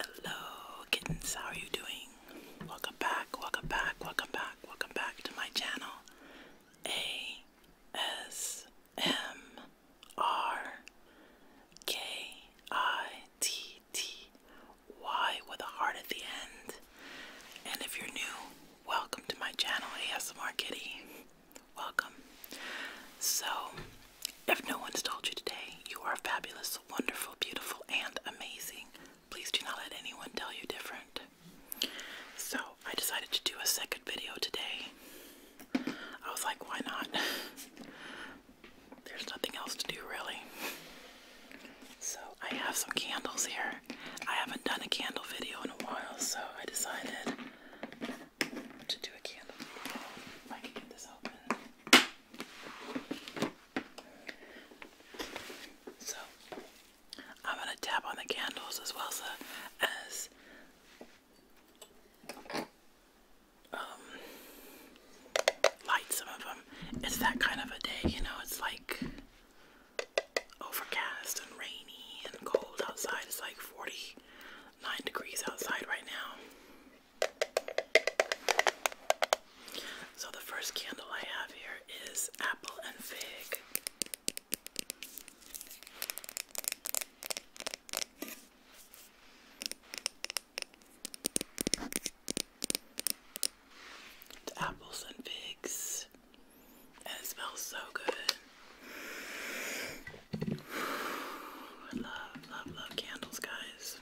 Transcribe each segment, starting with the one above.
Hello kittens, how are you doing? Welcome back, welcome back, welcome back, welcome back to my channel. A S M R K I T T Y with a heart at the end. And if you're new, welcome to my channel ASMR Kitty. Welcome. So if no one's told you today, you are fabulous, wonderful, beautiful, and amazing. Please do not let anyone tell you different. So, I decided to do a second video today. I was like, why not? There's nothing else to do, really. So, I have some candles here. I haven't done a candle video in a while, so I decided to do a candle I can get this open. So I'm gonna tap on the candles as well as um, light some of them. It's that kind of a day, you know. It's like overcast and rainy and cold outside. It's like 49 degrees outside right now. So, the first candle I have here is Apple and Fig. apples and figs, and it smells so good. I love, love, love candles, guys.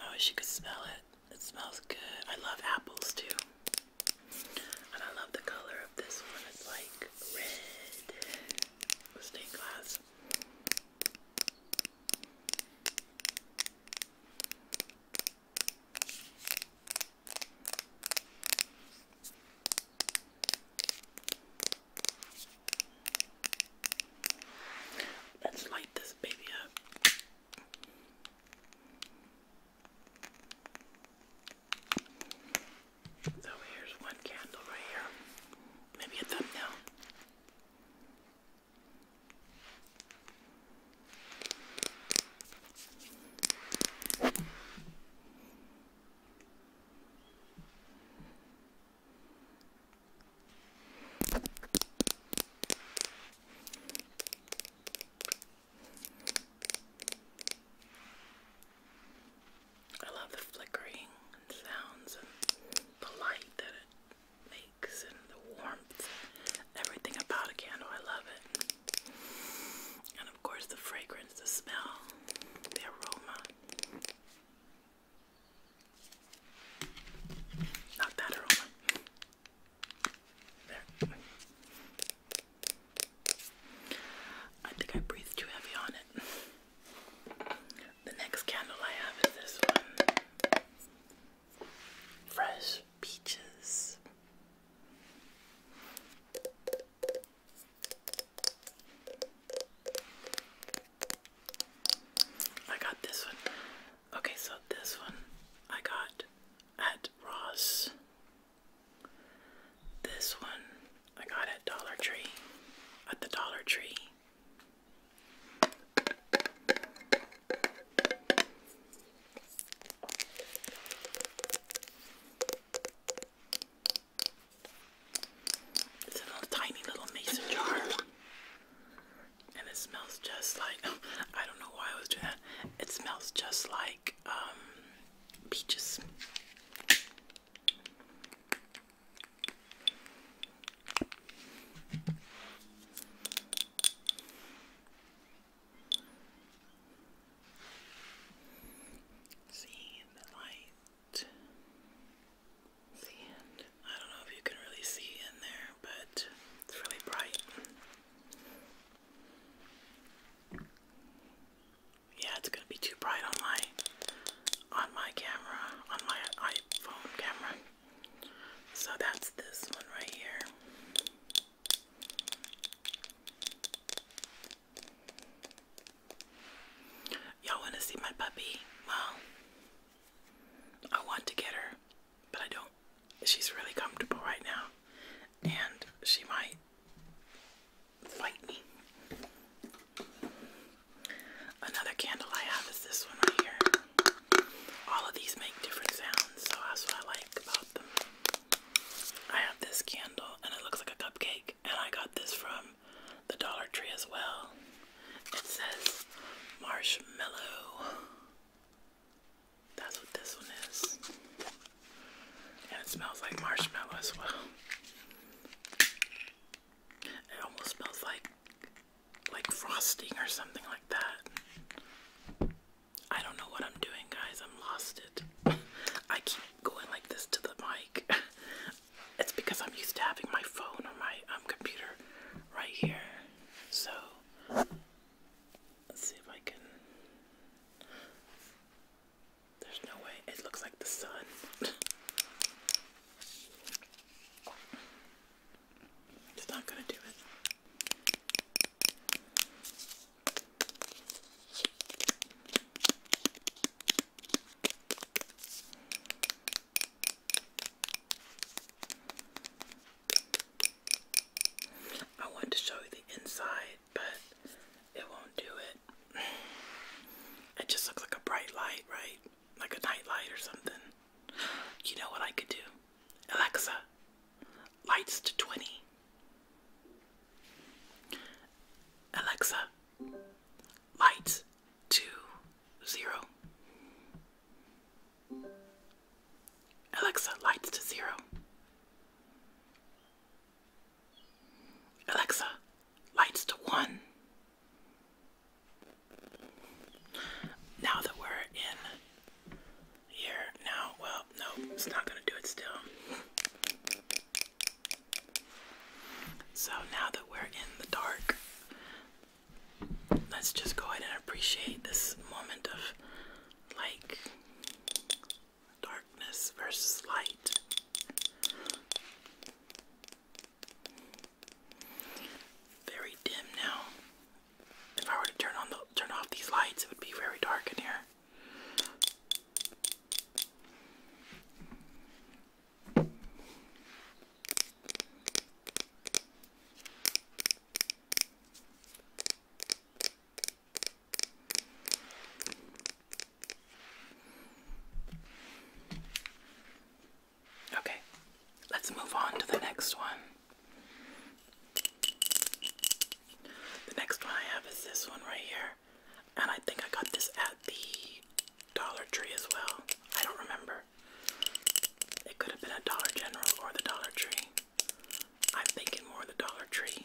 I wish you could smell it. It smells good. I love apples too. And I love the color of this one. It's like red stained glass. Let's light this baby up. So here's one candle right here. Maybe a thumbnail. I love the flickering and sounds and the light that it makes and the warmth, everything about a candle. I love it. And of course, the fragrance, the smell, the aroma. Not that aroma. There. I think I breathed too heavy on it. The next candle I have is this one Fresh Peaches. I got this one. Okay, so this one I got at Ross. This one I got at Dollar Tree. At the Dollar Tree. It's in a tiny little mason jar. And it smells just like I don't know why I was doing that. It smells just like um, peaches. See the light the I don't know if you can really see in there, but it's really bright. Yeah, it's gonna be too bright on my on my camera, on my iPhone camera. So that's this one right here. Y'all want to see my puppy? Well, I want to get her, but I don't. She's really comfortable right now, and she might fight me. Another candle I have is this one right here. All of these make different sounds, so that's what I like about them. I have this candle, and it looks like a cupcake, and I got this from the Dollar Tree as well. It says marshmallow. That's what this one is. And it smells like marshmallow as well. It almost smells like like frosting or something like that. I don't know what I'm doing guys, I'm lost it. I keep going like this to the mic. it's because I'm used to having my phone or my um, computer right here. So, let's see if I can. There's no way. It looks like the sun. It's not going to do it. I wanted to show you the inside, but it won't do it. It just looks like a bright light, right? Like a night light or something. You know what I could do? Alexa, lights to 20. Alexa, lights to zero. Alexa, lights to zero. Alexa, lights to one. Now that we're in here, now, well, no, it's not going to do it still. So now that we're in the dark, let's just go ahead and appreciate this moment of like darkness versus light. Very dim now. If I were to turn on the turn off these lights, it would be very dark in here. Okay, let's move on to the next one. The next one I have is this one right here, and I think I got this at the Dollar Tree as well. I don't remember. It could have been a Dollar General or the Dollar Tree. I'm thinking more the Dollar Tree.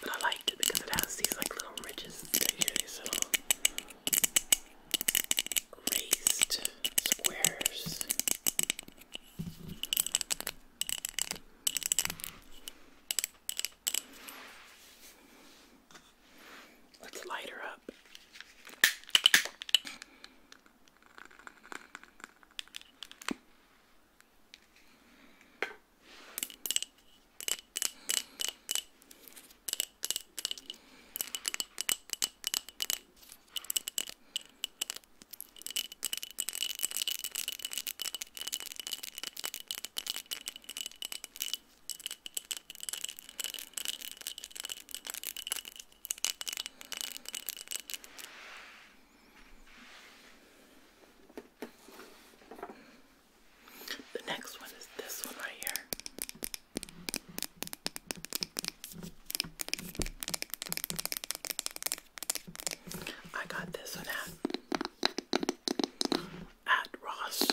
But I liked it because it has these like little ridges. these little raised squares. Let's light her up. The next one is this one right here. I got this one at at Ross.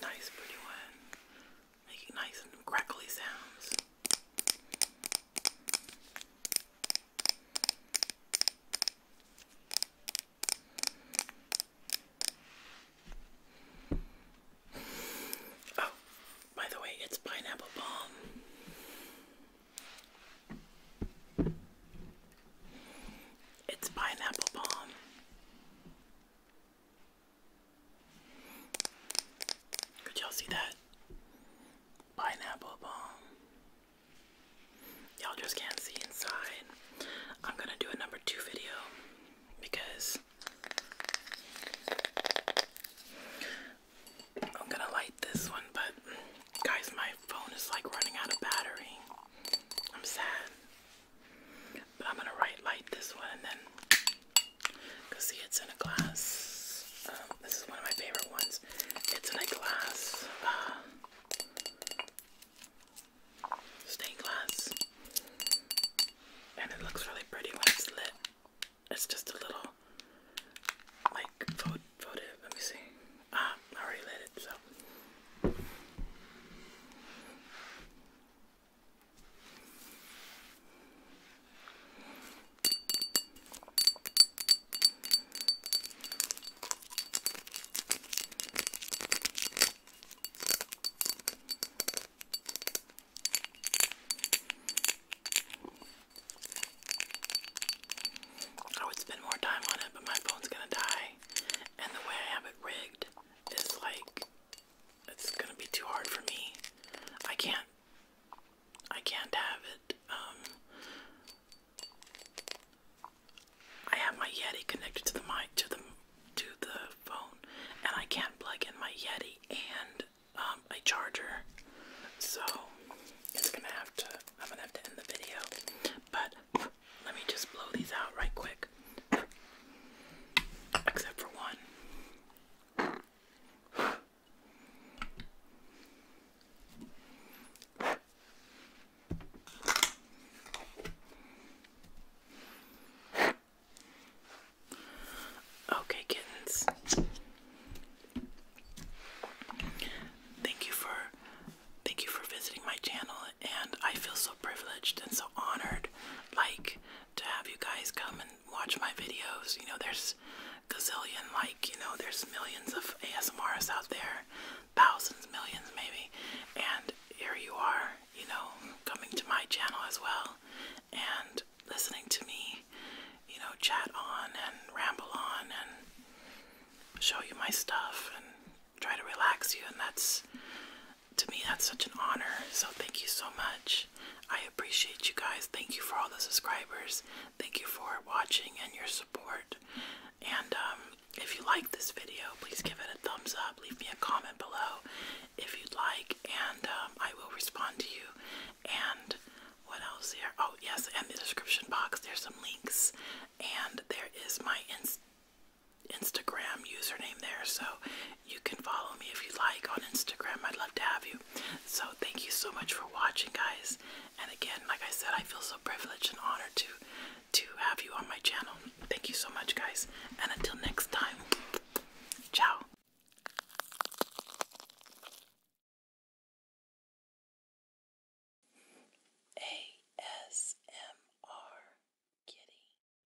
Nice, pretty one making nice and crackly sounds. Oh, by the way, it's pineapple balm. It's pineapple balm. Could y'all see that? Pineapple bomb. Y'all just can't see inside. I'm gonna do a number two video because I'm gonna light this one, but guys, my phone is like running out of battery. I'm sad. But I'm gonna right light this one and then see it's in a glass. Um, this is one of my favorite ones. It's in glass uh, stained glass, and it looks really pretty when it's lit. It's just a little like photo. Let me see. Ah, I already lit it so. I would spend more time on it, but my phone's gonna die. And the way I have it rigged is like it's gonna be too hard for me. I can't. I can't have it. Um, I have my Yeti connected to the mic to the to the phone, and I can't plug in my Yeti and um, a charger. So it's gonna have to. I'm gonna have to end the video. But let me just blow these out right quick. Except for one. Okay, kittens. Thank you for thank you for visiting my channel and I feel so privileged and so honored like to have you guys come and watch my videos. You know, there's gazillion, like, you know, there's millions of ASMRs out there, thousands, millions maybe, and here you are, you know, coming to my channel as well and listening to me, you know, chat on and ramble on and show you my stuff and try to relax you, and that's to me, that's such an honor. So, thank you so much. I appreciate you guys. Thank you for all the subscribers. Thank you for watching and your support. And um, if you like this video, please give it a thumbs up. Leave me a comment below if you'd like, and um, I will respond to you. And what else here? Oh, yes, and the description box, there's some links. And there is my Instagram. Instagram username there, so you can follow me if you like on Instagram. I'd love to have you. So, thank you so much for watching, guys. And again, like I said, I feel so privileged and honored to to have you on my channel. Thank you so much, guys. And until next time, ciao. ASMR